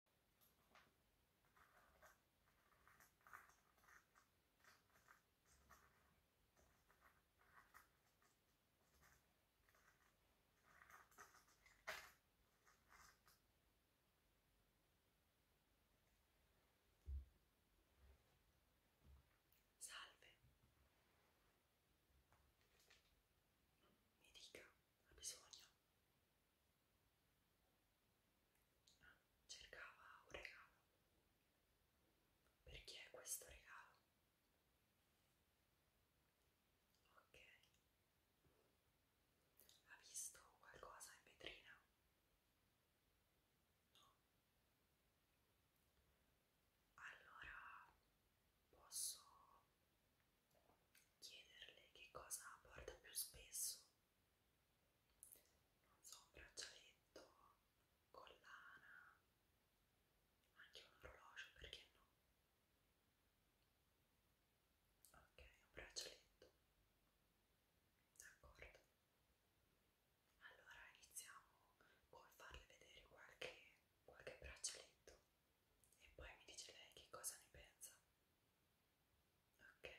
Salve, mi dica, ha bisogno? cercava un regalo. Per chi è questo regalo? Ok. Ha visto qualcosa in vetrina? No. Allora posso chiederle che cosa porta più spesso non so, un braccialetto, collana, anche un orologio, perché no? Ok, un braccialetto. D'accordo. Allora iniziamo con farle vedere qualche, qualche braccialetto e poi mi dice lei che cosa ne pensa. Ok.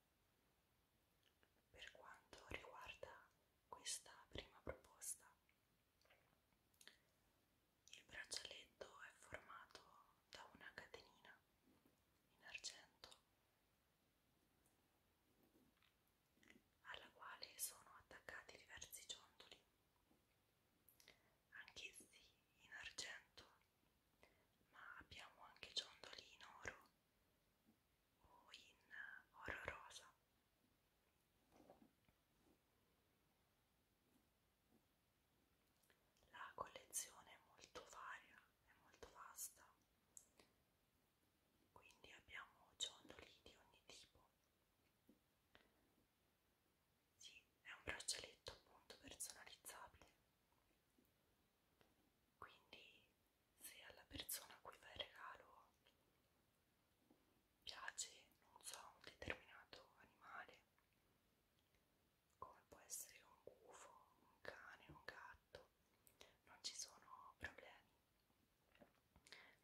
Per quanto riguarda questa prima proposta, il braccialetto è formato da una catenina in argento alla quale sono attaccati diversi ciondoli, anch'essi in argento, ma abbiamo anche ciondoli in oro o in oro rosa. La collezione è molto varia, è molto vasta, quindi abbiamo ciondoli di ogni tipo. Sì, è un braccialetto appunto personalizzabile, quindi se alla persona a cui fai il regalo piace, non so, un determinato animale, come può essere un gufo, un cane, un gatto, non ci sono problemi.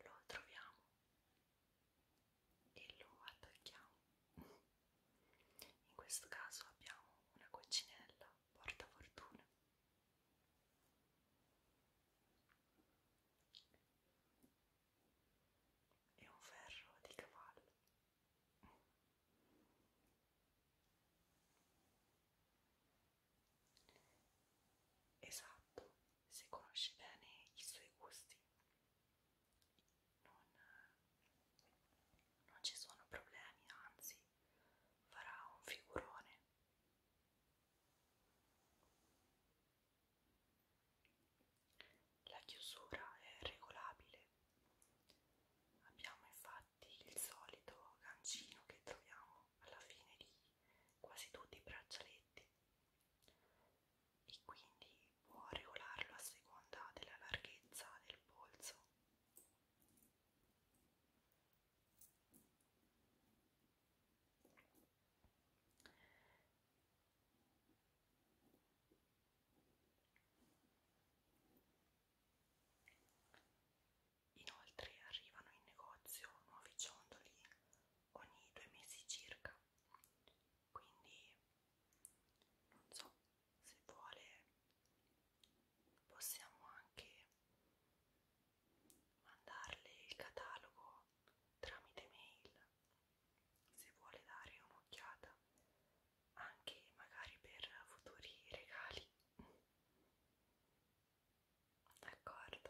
Lo troviamo e lo attacchiamo. In questo caso abbiamo una coccinella portafortuna e un ferro di cavallo. Esatto, se conosci bene i suoi gusti, non, non ci sono problemi, anzi farà un figurone. La chiusura è regolabile. Abbiamo infatti il solito gancino che troviamo alla fine di quasi tutti i braccialetti e quindi può regolarlo a seconda della larghezza del polso Inoltre arrivano in negozio nuovi ciondoli ogni due mesi circa, quindi non so se vuole possiamo anche mandarle il catalogo tramite mail se vuole dare un'occhiata anche magari per futuri regali d'accordo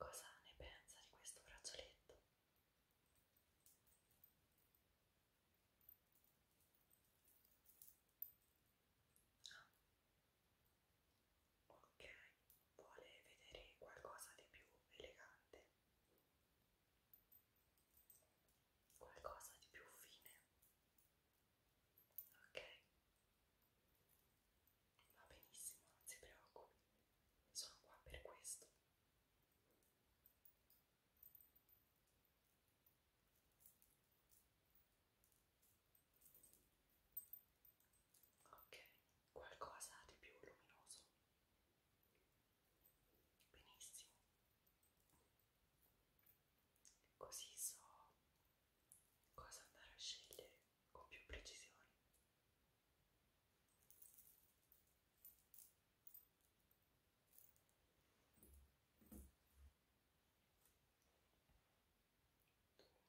Cosa ne pensa di questo braccialetto? Ah, Ok, vuole vedere qualcosa di più elegante, qualcosa di più fine. Ok, va benissimo, non si preoccupi, sono qua per questo. Ok, qualcosa di più luminoso. Benissimo. Così so cosa andare a scegliere con più precisione dunque mi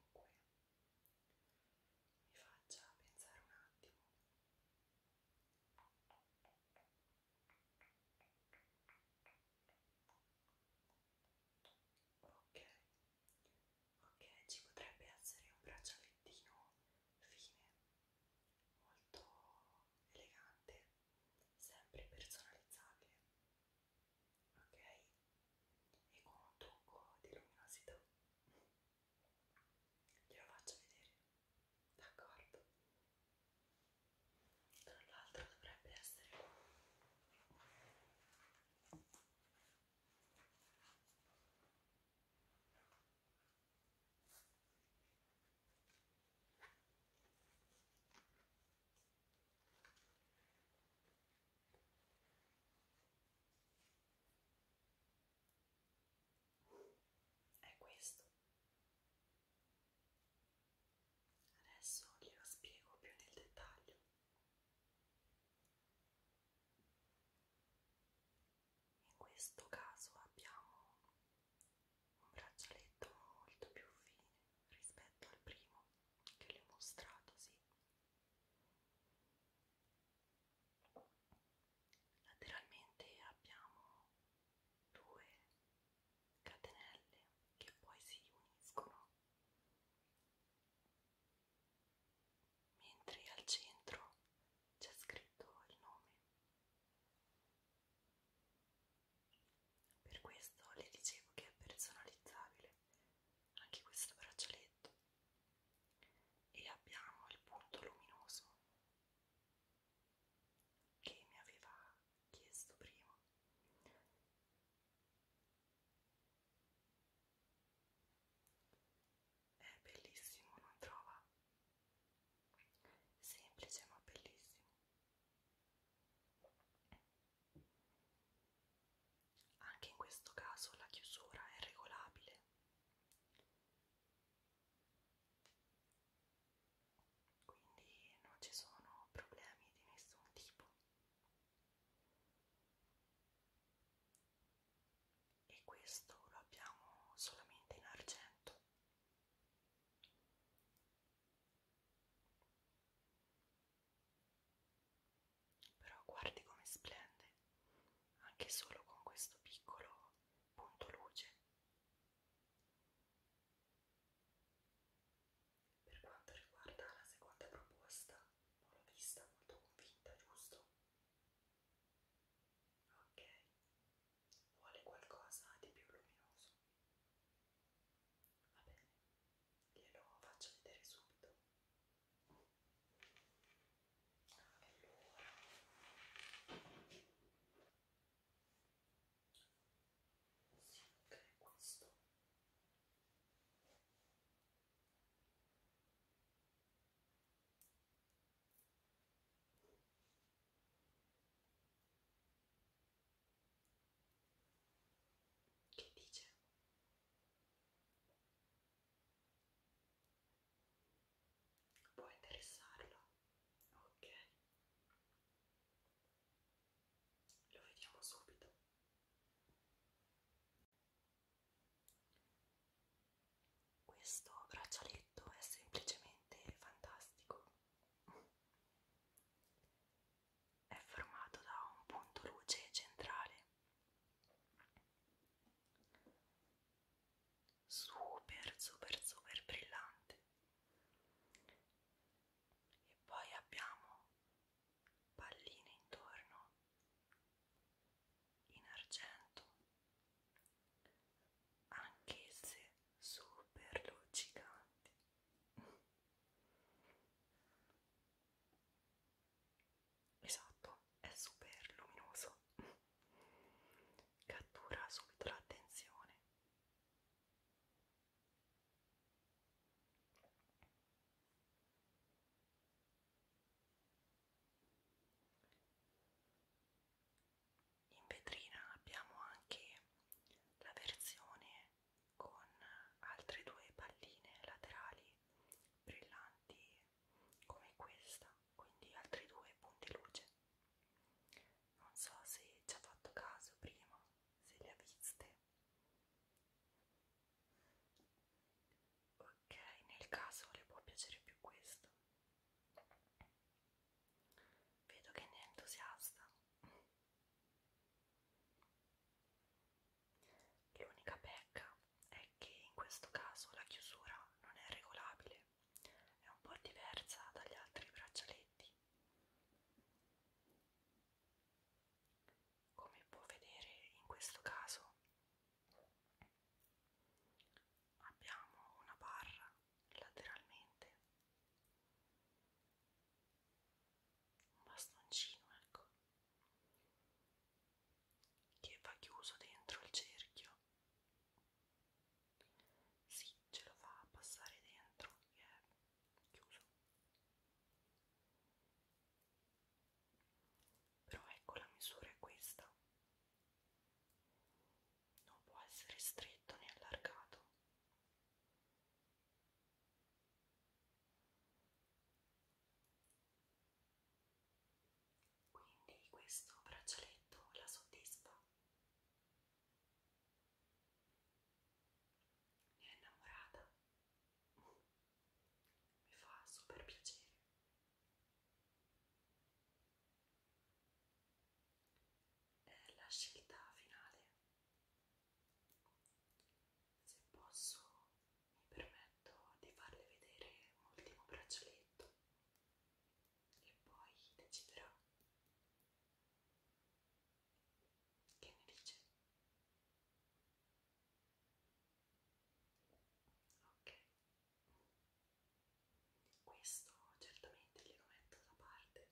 faccia pensare un attimo ok ok ci potrebbe essere un braccialettino fine molto elegante sempre personalizzabile ok? E con un tocco di luminosità glielo faccio vedere, d'accordo? Tra l'altro dovrebbe essere è questo adesso glielo spiego più nel dettaglio in questo caso abbiamo un braccialetto molto più fine rispetto al primo che le ho mostrato, sì. Lateralmente abbiamo due catenelle che poi si uniscono, mentre al centro c'è scritto il nome. Per questo le dicevo che è personalizzabile anche questo braccialetto e abbiamo il punto luminoso che mi aveva chiesto prima è bellissimo non trova semplice ma bellissimo anche in questo caso la chiusura è regolabile. Quindi non ci sono problemi di nessun tipo. E questo lo abbiamo solamente in argento. Però guardi come splende, anche solo con questo piccolo punto luce. Per quanto riguarda la seconda proposta, non l'ho vista molto convinta, giusto? Ok, vuole qualcosa di più luminoso. Va bene, glielo faccio vedere subito. Allora. Sì, ok, questo. Che dice? Può interessarlo? Ok. Lo vediamo subito. Questo braccialetto è semplicemente fantastico è formato da un punto luce centrale super super super brillante e poi abbiamo palline intorno in argento anch'esse super luccicanti. Esatto, è super luminoso. Cattura subito l'attenzione in vetrina abbiamo anche la versione con altre due palline laterali brillanti come questa, quindi altri due punti luce. Non so se ci ha fatto caso prima, se le ha viste. Ok, nel caso le può piacere più questo Vedo che ne è entusiasta. L'unica pecca è che in questo caso la chiusura non è regolabile, è un po' diversa dagli altri braccialetti. Come può vedere in questo caso abbiamo una barra lateralmente un bastoncino ecco che va chiuso dentro il cerchio si sì, ce lo fa passare dentro che è chiuso però ecco la misura è questa non può essere stretto né allargato. Quindi questo braccialetto la soddisfa. Ne è innamorata. Mi fa super piacere è eh, la scelta finale. Se posso, mi permetto di farle vedere un ultimo braccialetto e poi deciderà. Che ne dice? Ok. Questo certamente glielo metto da parte.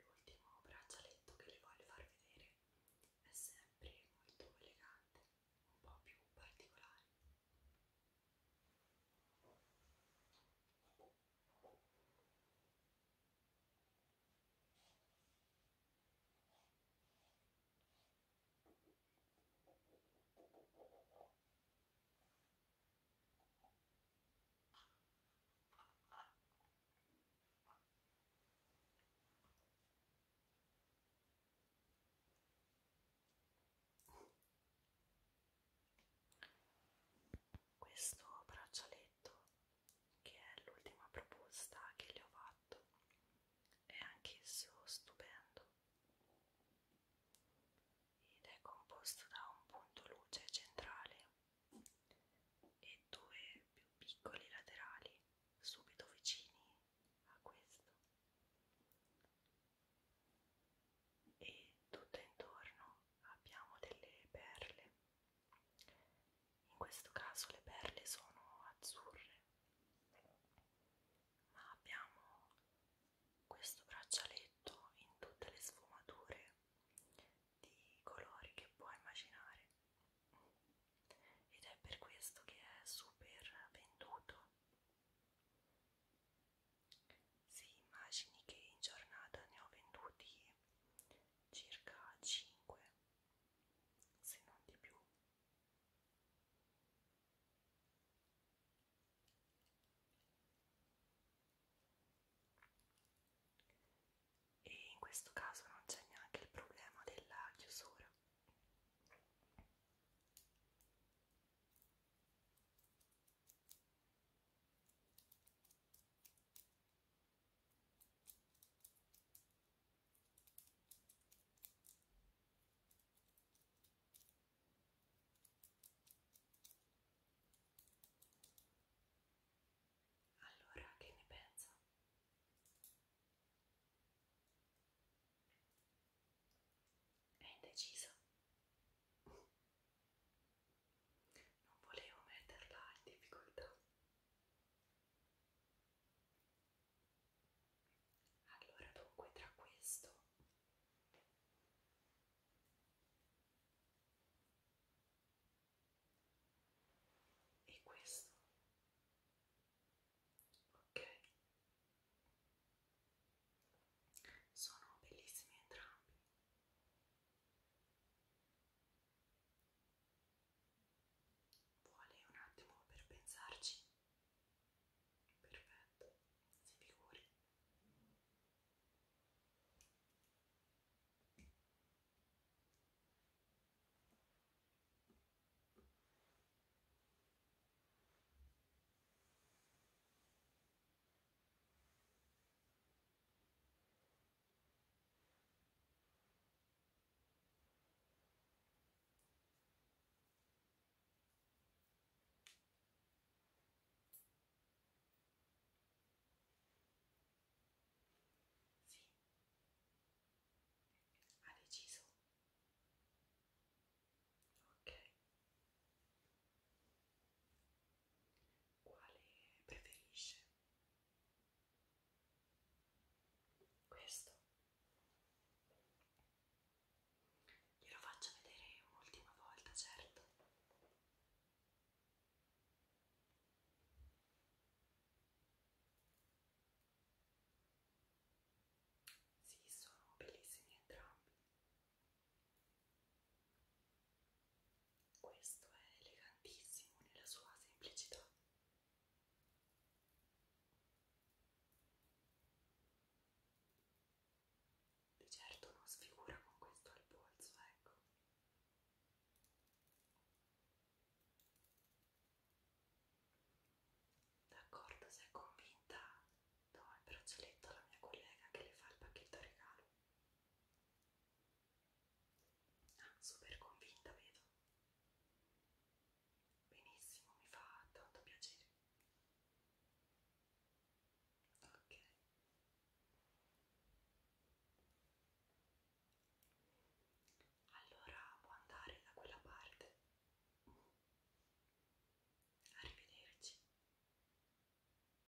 L'ultimo braccialetto che le voglio far vedere è sempre molto elegante, un po' più particolare. Questo braccialetto detto che è l'ultima proposta che le ho fatto è anch'esso stupendo ed è composto da un punto luce centrale e due più piccoli laterali subito vicini a questo e tutto intorno abbiamo delle perle in questo caso le perle sono azzurre, ma abbiamo questo braccialetto in tutte le sfumature di colori che puoi immaginare ed è per questo che è super venduto. Si immagini che in giornata ne ho venduti circa 5 se non di più e in questo caso non c'è neanche il problema della chiusura allora, che ne pensa? È indecisa? non volevo metterla in difficoltà. Allora dunque tra questo e questo ok sono bellissimi entrambi Vuole un attimo per pensarci? Perfetto, si figuri. Sì, ha deciso. Ok, quale preferisce. Questo glielo faccio vedere un'ultima volta, certo. Sì, sono bellissimi entrambi. Questo è elegantissimo nella sua semplicità. Di certo non sfigura con questo al polso, ecco. D'accordo, sei convinta? Do il braccialetto alla mia collega che le fa il pacchetto regalo. Ah, super convinta, vedo. Benissimo, mi fa tanto piacere. Ok. Allora può andare da quella parte. Arrivederci.